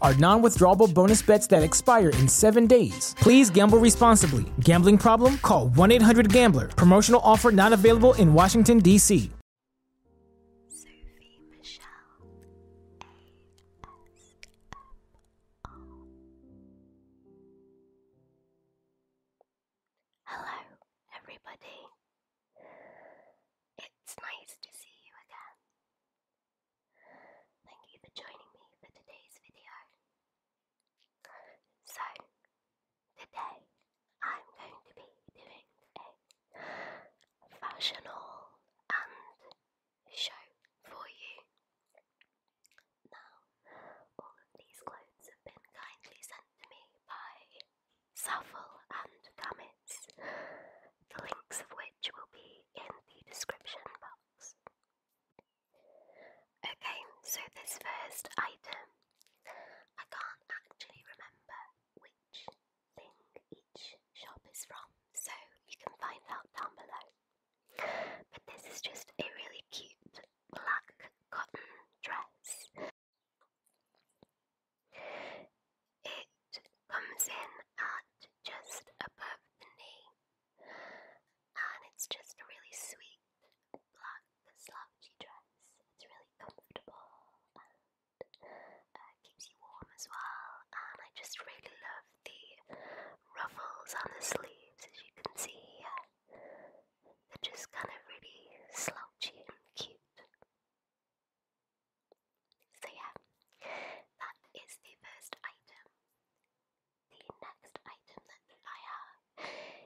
are non withdrawable bonus bets that expire in seven days. Please gamble responsibly. Gambling problem? Call 1 800 Gambler. Promotional offer not available in Washington, D.C. Sophie Michelle ASMR. Hello, everybody. It's nice to see you again. Thank you for joining me for today's video. So, today I'm going to be doing a fashion haul and show for you. Now, all of these clothes have been kindly sent to me by Saffle and Gamets, the links of which will be in the description box. Okay, so this first item, I can't actually remember which thing each shop is from, so you can find out down below. But this is just a really cute black cotton dress. It comes in at just above the knee, and it's just a really sweet black slouchy dress. It's really comfortable and uh, keeps you warm as well. And I just really love the ruffles on the sleeves, as you can see They're just kind of really slouchy and cute. So, yeah, that is the first item. The next item that I have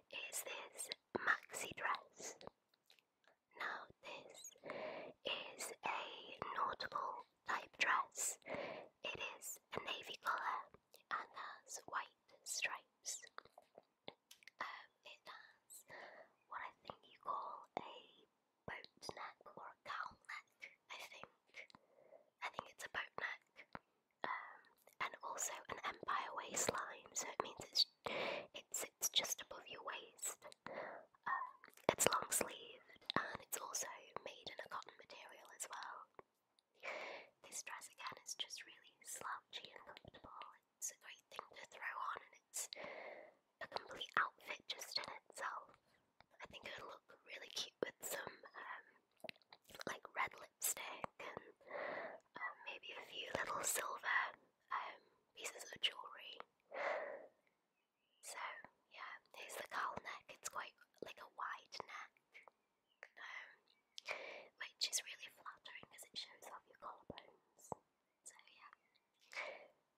is this maxi dress. Now, this is a nautical type dress. It is a navy colour and has white stripes. Um, it has what I think you call a boat neck or a cowl neck, I think. I think it's a boat neck. Um, and also an empire waistline, so it means it's it sits just above your waist. Um, it's long sleeved and it's also made in a cotton material as well. This dress again is just really slouchy and comfortable. It's a great thing to throw on and it's a complete outfit just in itself. I think it would look really cute with some um, like red lipstick and um, maybe a few little silver um, pieces of jewellery. So yeah, here's the collar neck. It's quite like a wide neck, which is really flattering because it shows off your collarbones. So yeah,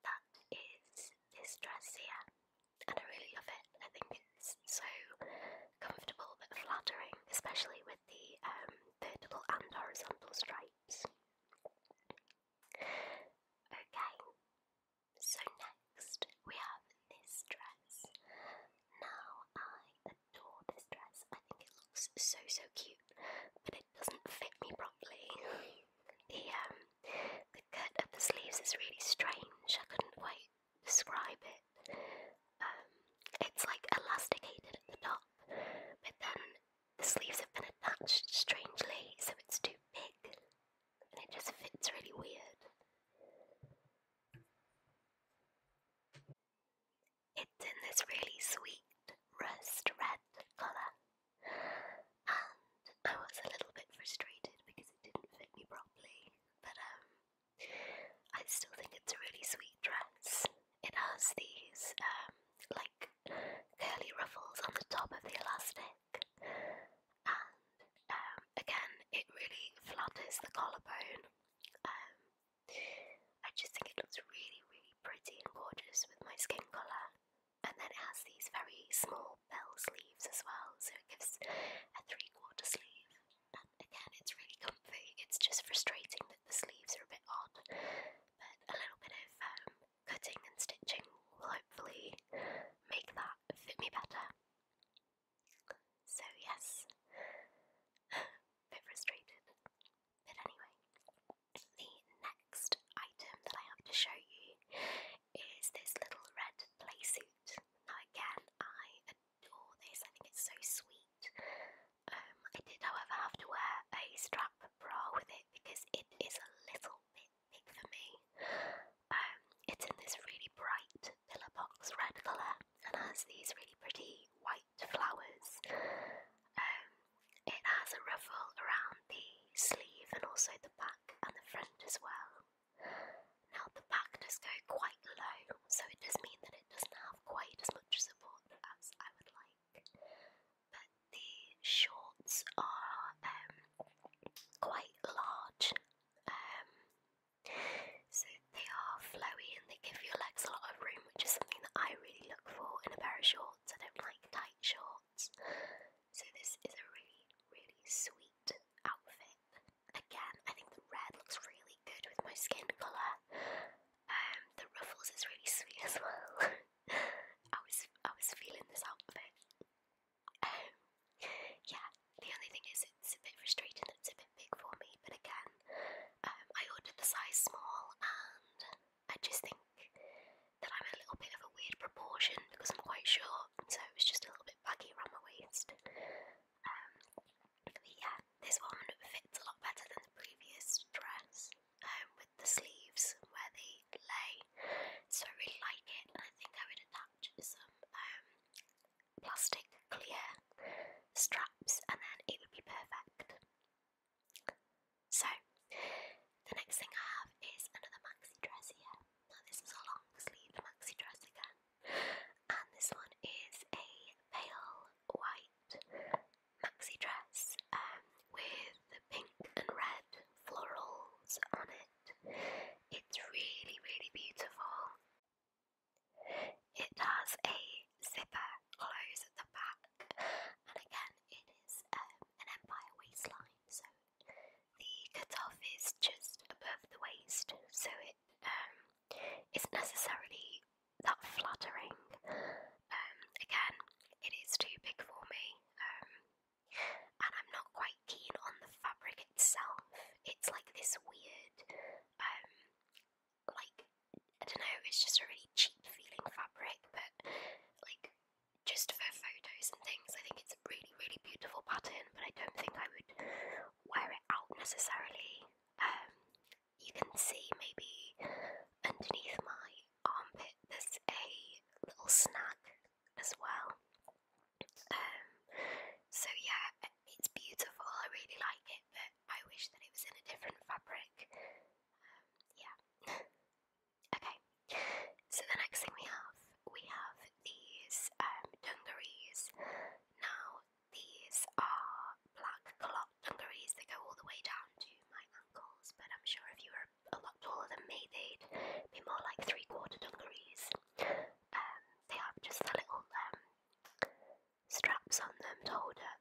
that is this dress here, and I really love it. I think it's so comfortable but flattering, especially with the um, vertical and horizontal stripes. Okay, so next we have this dress. Now, I adore this dress, I think it looks so so cute, but it doesn't fit me properly. The um, the cut of the sleeves is really strange. I couldn't quite describe it. Um, it's like elasticated at the top, but then the sleeves have been attached strangely, so it's too big, and it just fits really weird. It's in this really sweet rust red colour, and I was a little bit frustrated because it didn't fit me properly, but um, I still think it's a really sweet dress. It has these um, like curly ruffles on the top of the elastic, and um, again, it really flatters the collarbone. Um, I just think it looks really, really pretty and gorgeous with my skin colour and then it has these very small bell sleeves as well, so it gives a three-quarter sleeve. And again, it's really comfy. It's just frustrating that the sleeves are a bit odd, but a little bit of um, cutting and stitching will hopefully make that fit me better. So yes, a bit frustrated, but anyway the next item that I have to show you is this little red play suit. Now, again, I adore this, I think it's so sweet. Um, I did, however, have to wear a strap bra with it because it is a little bit big for me. Um, it's in this really bright lilac box red colour and has these really pretty white flowers. Um, it has a ruffle around the sleeve and also the back and the front as well. Now, the back does go quite low, so it does mean that it doesn't have quite as much support as I would like. But the shorts are um, quite large, um, so they are flowy and they give your legs a lot of room, which is something that I really look for in a pair of shorts. I don't like tight shorts, so this is a really, really sweet outfit. Again, I think the red looks really good with my skin colour. Um, the ruffles is really sweet as well. I was I was feeling this outfit. Um, yeah, the only thing is it's a bit frustrating that it's a bit big for me, but again, um, I ordered the size small and I just think that I'm a little bit of a weird proportion because I'm quite short, so it's just a little bit baggy around my waist. Um, but yeah, this one fits a lot better than the previous dress um, with the sleeves where they lay, so I really like it, and I think I would attach some um, plastic clear straps, and then it would be perfect. So, the next thing I have is another maxi dress here. Now, this is a long sleeve maxi dress again, and this one is a pale white maxi dress um, with pink and red florals on it. It's really, really beautiful. It has a zipper close at the back and again, it is um, an empire waistline, so the cutoff is just above the waist, so it um, not necessarily that flattering. Um, again, it is too big for me, and I'm not quite keen on the fabric itself. It's like this weird, like I don't know, it's just a really cheap feeling fabric, but like just for photos and things. I think it's a really, really beautiful pattern, but I don't think I would wear it out necessarily. Um, you can see maybe underneath my armpit there's a little snag as well. Um, so yeah, it's beautiful. I really like it, but I wish that it was in a different fabric. Um, yeah. Okay, so the next thing we have, we have these um, dungarees. Now, these are black cloth dungarees. They go all the way down to my ankles, but I'm sure if you were a lot taller than me, they'd be more like three-quarter dungarees. Um, they have just the little um, straps on them to hold up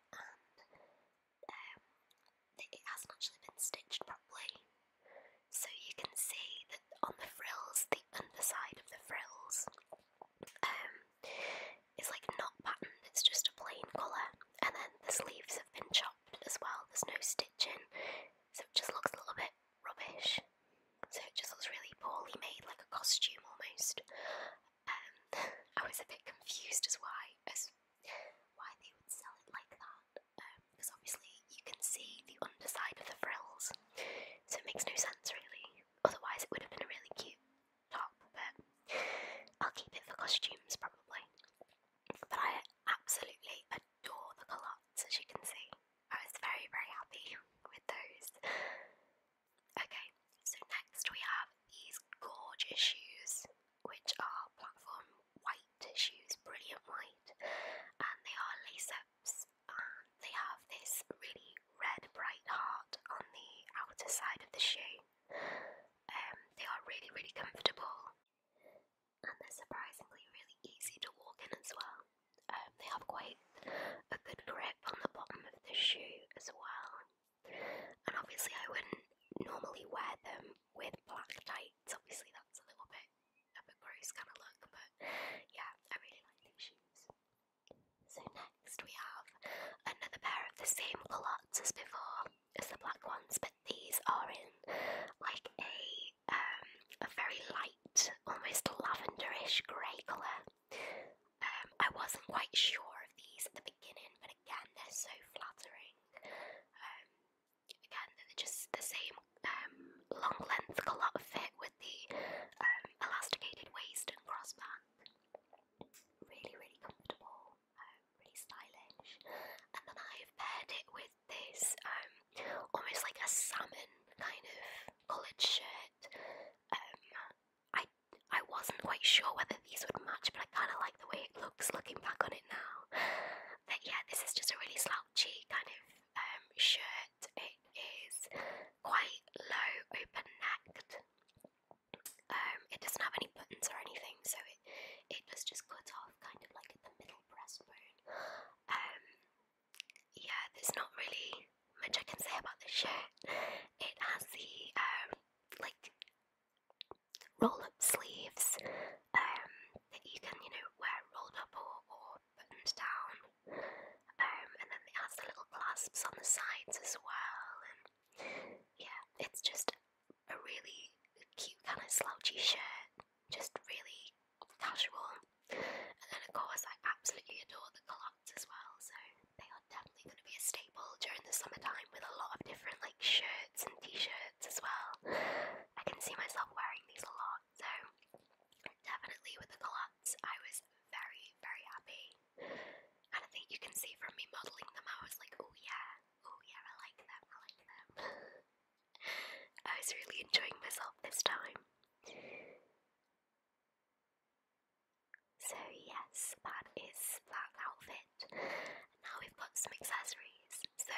Um, it hasn't actually been stitched properly. So you can see that on the frills, the underside of the frills um, is like not patterned, it's just a plain colour. And then the sleeves have been chopped as well, there's no stitching, so it just looks a little bit rubbish. So it just looks really poorly made, like a costume almost. I was a bit confused as why as why they would sell it like that, because um, obviously you can see the underside of the frills, so it makes no sense really. Otherwise, it would have been a really cute top, but I'll keep it for costumes probably. But I absolutely adore the collars, as you can see. I was very, very happy with those. Okay, so next we have these gorgeous shoes, which are platform white shoes, brilliant white, and they are lace ups, and they have this really red bright heart on the outer side of the shoe. Um, they are really, really comfortable, and they're surprisingly really easy to walk in as well. Um, they have quite a good grip on the bottom of the shoe as well. And obviously, I wouldn't normally wear them with black tights. Obviously, that's a little bit of kind of look, but yeah, I really like these shoes. So, next we have another pair of the same culottes as before, as the black ones, but these are in like a, um, a very light, almost lavenderish grey colour. Um, I wasn't quite sure of these at the beginning, but again, they're so flattering. Um, again, they're just the same um, long length culotte fit with the um, elasticated waist and crossband. Really, really comfortable, um, really stylish. And then I have paired it with this um, almost like a salmon kind of collared shirt. Um, I I wasn't quite sure whether these would match, but I kind of like the way it looks looking back on it now. But yeah, this is just a really slouchy kind of um, shirt. It is quite low, open necked. Um, it doesn't have any buttons or anything, so it it does just cut off kind of like at the middle breastbone. Um, yeah, there's not really much I can say about this shirt. It has the um, like roll up sleeves um, that you can, you know, wear rolled up or, or buttoned down. Um, and then it has the little clasps on the sides as well. yeah, it's just a really cute kind of slouchy shirt, just really casual. And then, of course, I absolutely adore the colour as well, so they are definitely going to be a staple during the summertime with a lot of different like shirts and t-shirts as well. I can see myself wearing these a lot, so definitely with the collabs I was very, very happy. And I think you can see from me modelling them, I was like, oh yeah, oh yeah, I like them, I like them. I was really enjoying myself this time. So yes, that is that outfit. Now we've got some accessories. So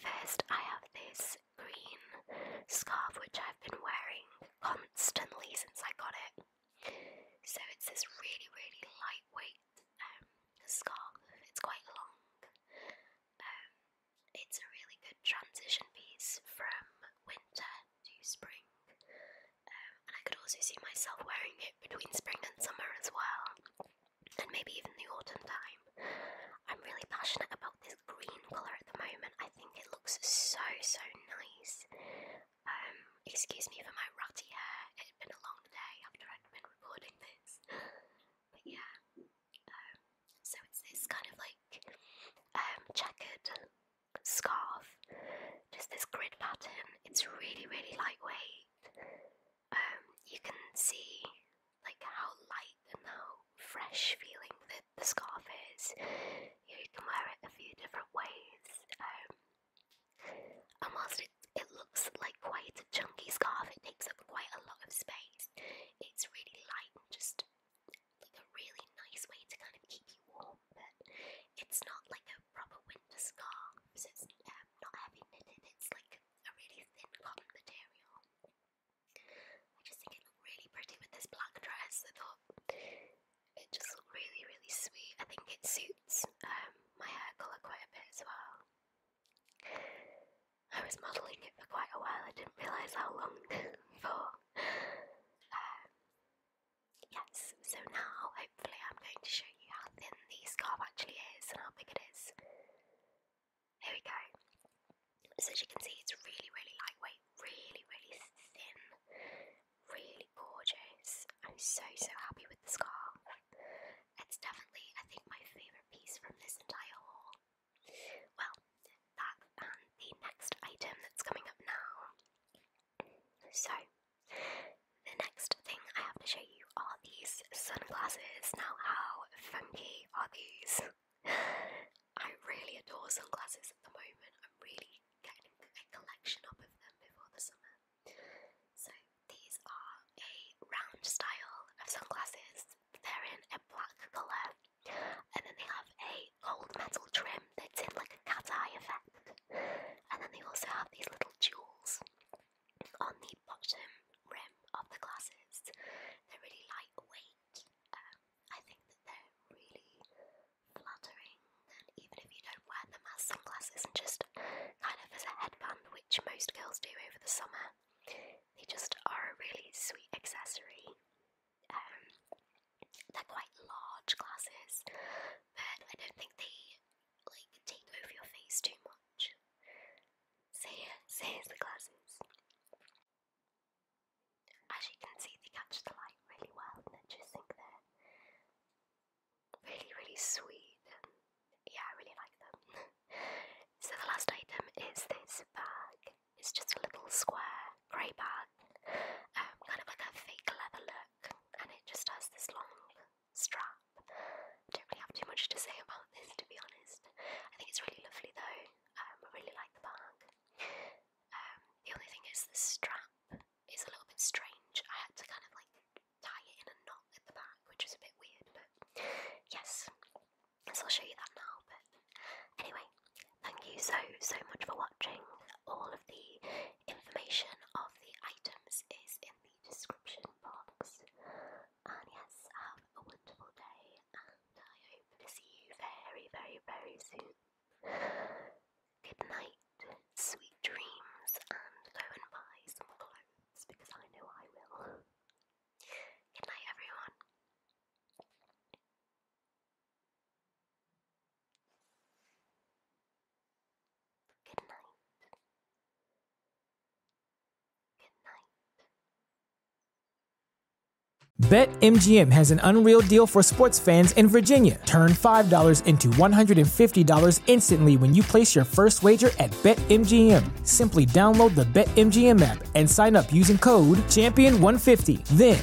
first I have this green scarf which I've been wearing constantly since I got it. So it's this really really lightweight um, scarf. It's quite long. Um, it's a really good transition piece from winter to spring. Um, and I could also see myself wearing it between spring and summer as well, and maybe even the autumn time. I'm really passionate about this green colour at the moment. I think it looks so, so nice. Um, excuse me for my ratty hair. It had been a long day after I'd been recording this. But yeah. Um, so it's this kind of like um, checkered scarf. Just this grid pattern. It's really, really lightweight. Um, you can see like how light and how fresh feeling the, the scarf is. You, can wear it a few different ways. Um, and whilst it, it looks like quite a chunky scarf, it takes up quite a lot of space. It's really light and just like a really nice way to kind of keep you warm, but it's not like a proper winter scarf, so it's um, not heavy knitted, it's like a really thin cotton material. I just think it looked really pretty with this black dress. I thought it just looked really, really sweet. I think it suits um, my hair colour quite a bit as well. I was modelling it for quite a while, I didn't realise how long for. Um, Yes, so now hopefully I'm going to show you how thin this scarf actually is and how big it is. Here we go. So as you can see it's really really lightweight, really really thin, really gorgeous. I'm so so happy with the scarf. It's definitely I think my favourite piece from this entire haul. Well, that and um, the next item that's coming up now. So, the next thing I have to show you are these sunglasses. Now, how funky are these? I really adore sunglasses at the moment. I'm really getting a collection of them before the summer. So, these are a round style of sunglasses. They're in a black colour and then they have a gold metal trim that's in like a cat eye effect. And then they also have these little jewels on the bottom rim of the glasses. They're really lightweight. Um, I think that they're really flattering. And even if you don't wear them as sunglasses and just kind of as a headband, which most girls do over the summer, they just are a really sweet accessory. Um, they're quite large glasses, but I don't think they like take over your face too much. So yeah, so here's the glasses. As you can see, they catch the light really well, and I just think they really, really sweet. yeah, I really like them. so the last item is this bag. It's just a little square grey bag, um, kind of like a fake leather look, and it just has this long strap. I don't really have too much to say about this, to be honest. I think it's really lovely though. Um, I really like the bag. Um, the only thing is the strap is a little bit strange. I had to kind of like tie it in a knot at the back, which is a bit weird. But yes, so I'll show you that now. But Anyway, thank you so, so much for watching. All of the information of the items is in the description box. And yes, have a wonderful day, and I hope to see you very, very, very soon. Good night, sweet dreams, and go and buy some clothes because I know I will. Good night, everyone. Good night. BetMGM has an unreal deal for sports fans in Virginia. Turn $5 into $150 instantly when you place your first wager at BetMGM. Simply download the BetMGM app and sign up using code Champion150. Then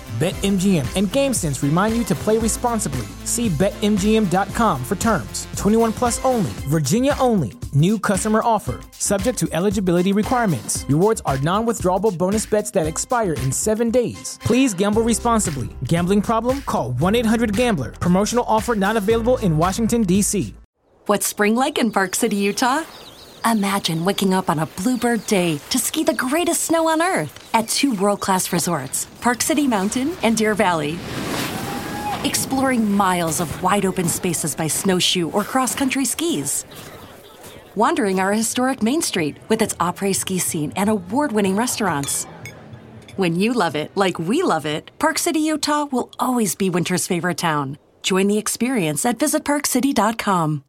BetMGM and GameSense remind you to play responsibly. See BetMGM.com for terms. 21 plus only, Virginia only. New customer offer, subject to eligibility requirements. Rewards are non withdrawable bonus bets that expire in seven days. Please gamble responsibly. Gambling problem? Call 1 800 Gambler. Promotional offer not available in Washington, D.C. What's spring like in Park City, Utah? Imagine waking up on a bluebird day to ski the greatest snow on earth at two world class resorts, Park City Mountain and Deer Valley. Exploring miles of wide open spaces by snowshoe or cross country skis. Wandering our historic Main Street with its après ski scene and award winning restaurants. When you love it, like we love it, Park City, Utah will always be winter's favorite town. Join the experience at visitparkcity.com.